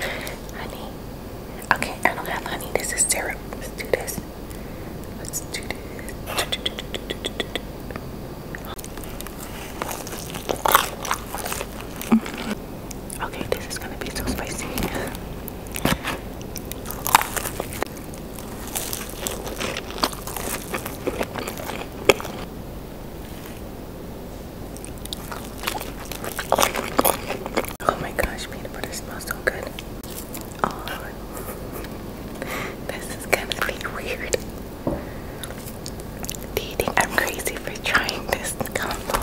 Honey. Okay, I don't have honey. This is syrup. Let's do this. Let's do this. Okay, this is gonna be so spicy. Oh my gosh, peanut butter smells so good. this is gonna be weird. Do you think I'm crazy for trying this combo?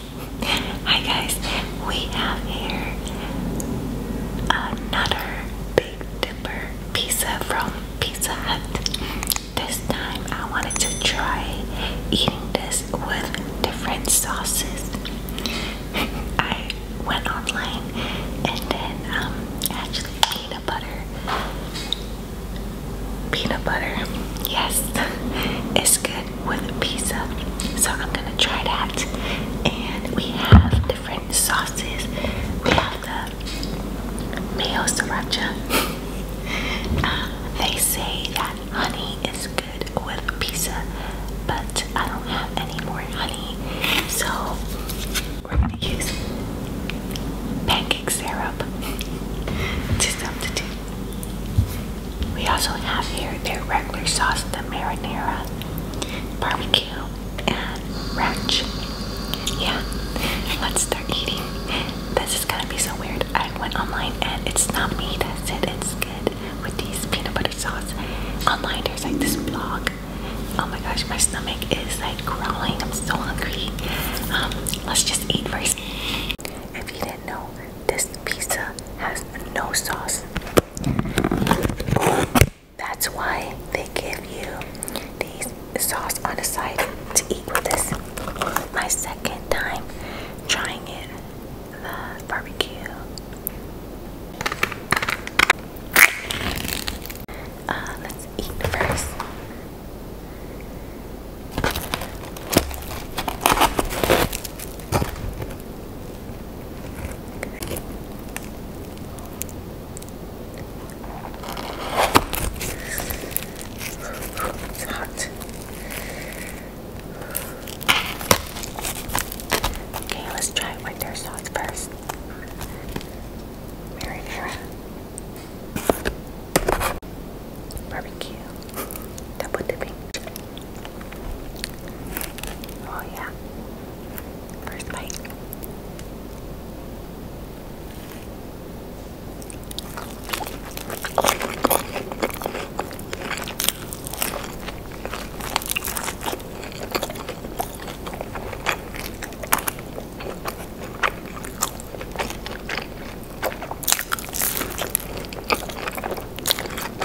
Hi guys, we have here another Big Dipper pizza from Pizza Hut. This time I wanted to try eating this with different sauces. I went online and then um, actually peanut butter. Peanut butter, yes, it's good with pizza. So I'm gonna try that. And we have different sauces. We have the mayo sriracha. Uh, they say that honey is good with pizza, but I don't have any more honey, so we're gonna use pancake syrup to substitute. We also have here their regular sauce, the marinara, barbecue, and ranch. Yeah, let's start eating. This is gonna be so weird. I went online and it's not me that said it's good with these peanut butter sauce. Online there's like this blog. Oh my gosh, my stomach is like growling. I'm so hungry. Um, let's just eat first. If you didn't know, this pizza has no sauce. That's why they give you these sauce on the side to eat with this. My second time trying it, the barbecue. Uh, let's eat first. It's hot. Okay, let's try it with their sauce first. Marinara. Barbecue. Double dipping. Oh, yeah. First bite.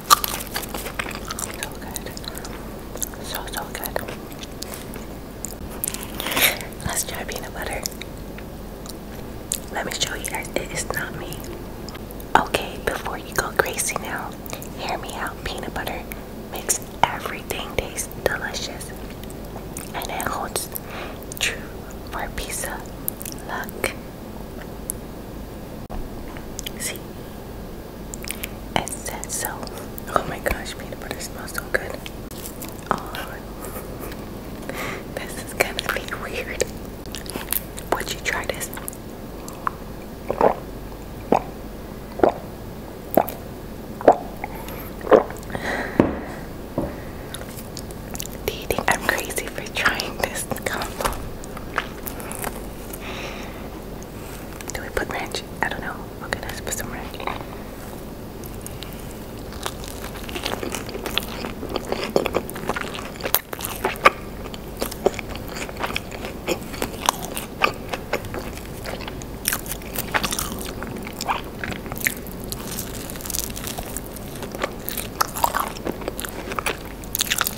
So good. So, so good. Let's try peanut butter. Let me show you guys. It is not me. Okay, before you go crazy now, hear me out. Peanut butter makes everything taste delicious. And it holds true for pizza luck. See, it says so. Oh my gosh, peanut butter smells so good. Oh, this is gonna be weird. Would you try this? Do you think I'm crazy for trying this combo? Do we put ranch? I don't know. Okay, let's put some ranch.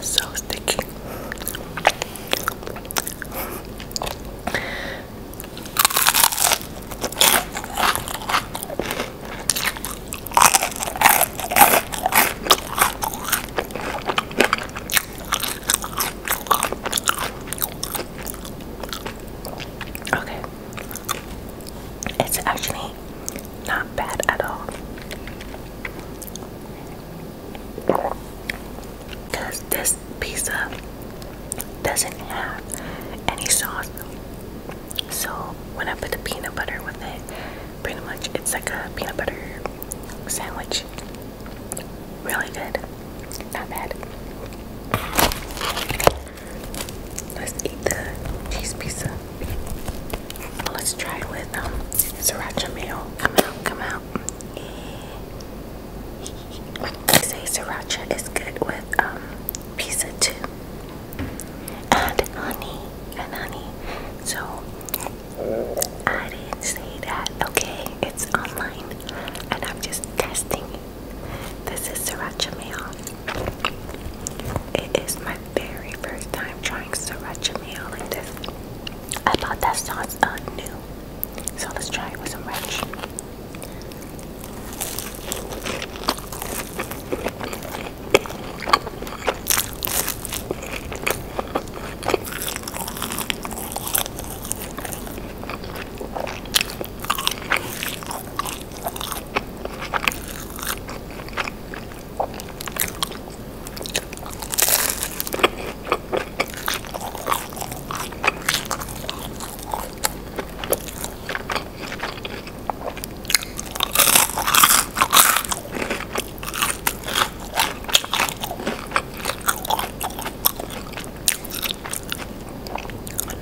So sticky. Okay. It's actually not bad at all. Because this pizza doesn't have any sauce. So when I put the peanut butter with it, pretty much it's like a peanut butter sandwich. Really good. Not bad. Let's eat the cheese pizza. Let's try it with um, sriracha mayo. Come out, come out out. And they say sriracha is good with um, pizza too. And honey, and honey. So I didn't say that. Okay, it's online, and I'm just testing it. This is sriracha mayo. It is my very first time trying sriracha mayo like this. I bought that sauce uh, new. So let's try it with some ranch.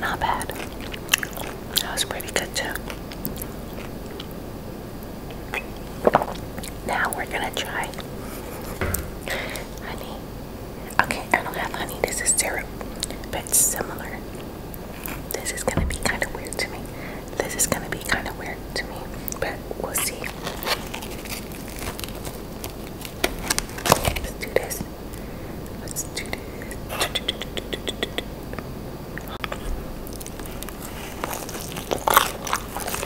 Not bad. That was pretty good too. Now we're gonna try honey. Okay, I don't have honey. This is syrup, but similar. This is gonna be kind of weird to me. This is gonna be kind of weird to me, but we'll see. Let's do this. Let's do this.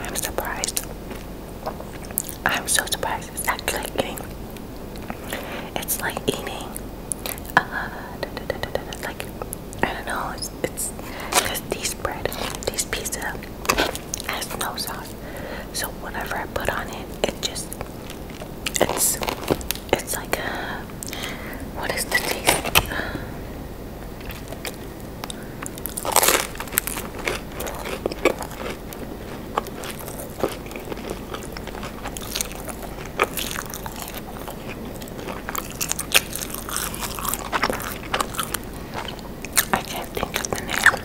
I'm surprised. I'm so surprised. It's actually like eating. It's like eating. Uh, da, da, like I don't know. It's it's just these bread, these pizza has no sauce. So whenever I put on it, it just it's it's like a what is the taste? I can't think of the name.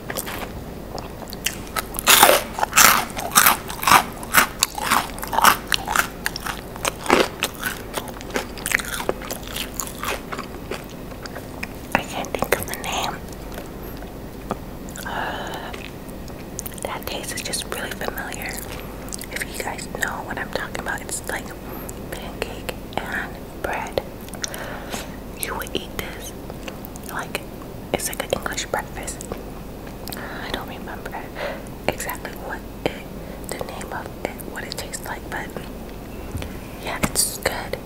I can't think of the name. Uh, that taste is just really familiar. If you guys know what I'm talking about, it's like pancake and bread. You would eat this like it's like an English breakfast. I don't remember exactly what it, the name of it, what it tastes like, but yeah, it's good.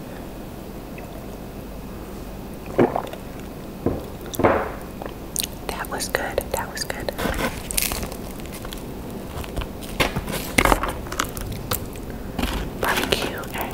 That was good. That was good. Barbecue and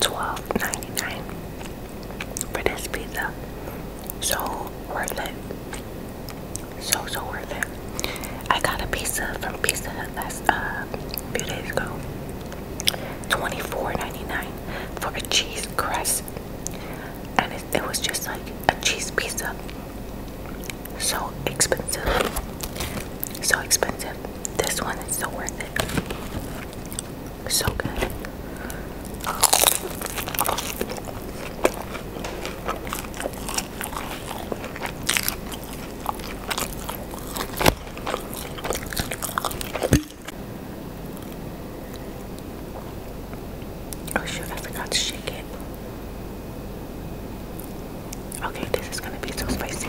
Twelve ninety nine for this pizza. So worth it. So so worth it. I got a pizza from Pizza Hut last uh few days ago. $24.99 for a cheese crust. And it was just like a cheese pizza. So expensive. So expensive. This one is so worth it. So good. Oh shoot, I forgot to shake it. Okay, this is gonna be so spicy.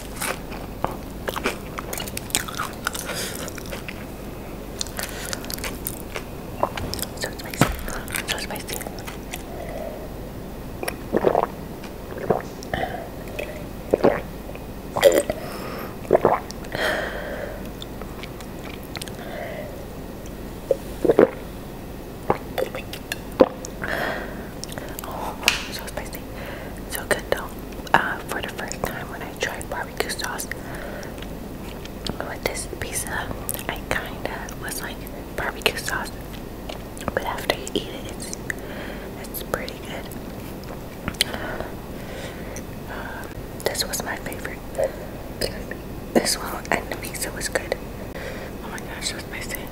So spicy. So spicy. Oh, so spicy. So good though. Uh, for the first time when I tried barbecue sauce with this pizza, I kinda was like barbecue sauce, but after you eat it, it's it's pretty good. Uh, this was my favorite. This one and the pizza was good. Oh my gosh, what's was saying?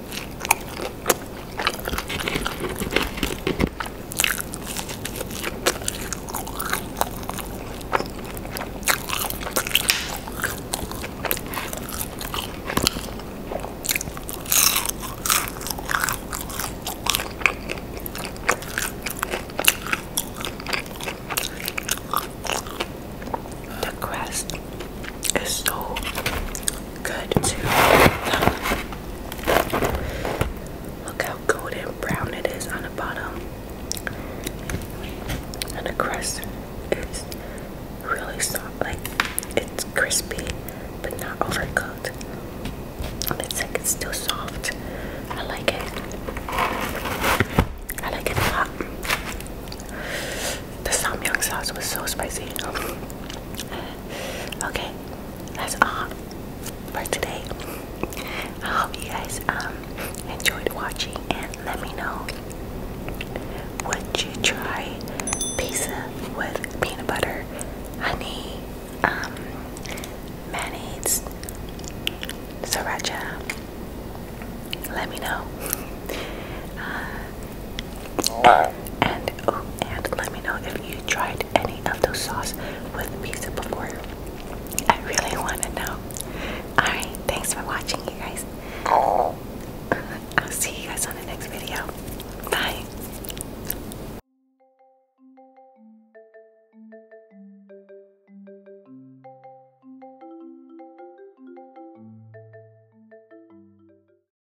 The crust it's so good too. Look how golden brown it is on the bottom. And the crust is really soft, like it's crispy but not overcooked. And it's like it's still soft. I like it. I like it a lot. The samyang sauce was so spicy okay, that's all for today. I hope you guys um, enjoyed watching and let me know would you try pizza with peanut butter, honey, um, mayonnaise, sriracha. Let me know. Uh, and oh, and let me know if you tried any of those sauce with pizza before. I really want to know. Alright, thanks for watching, you guys. I'll see you guys on the next video. Bye.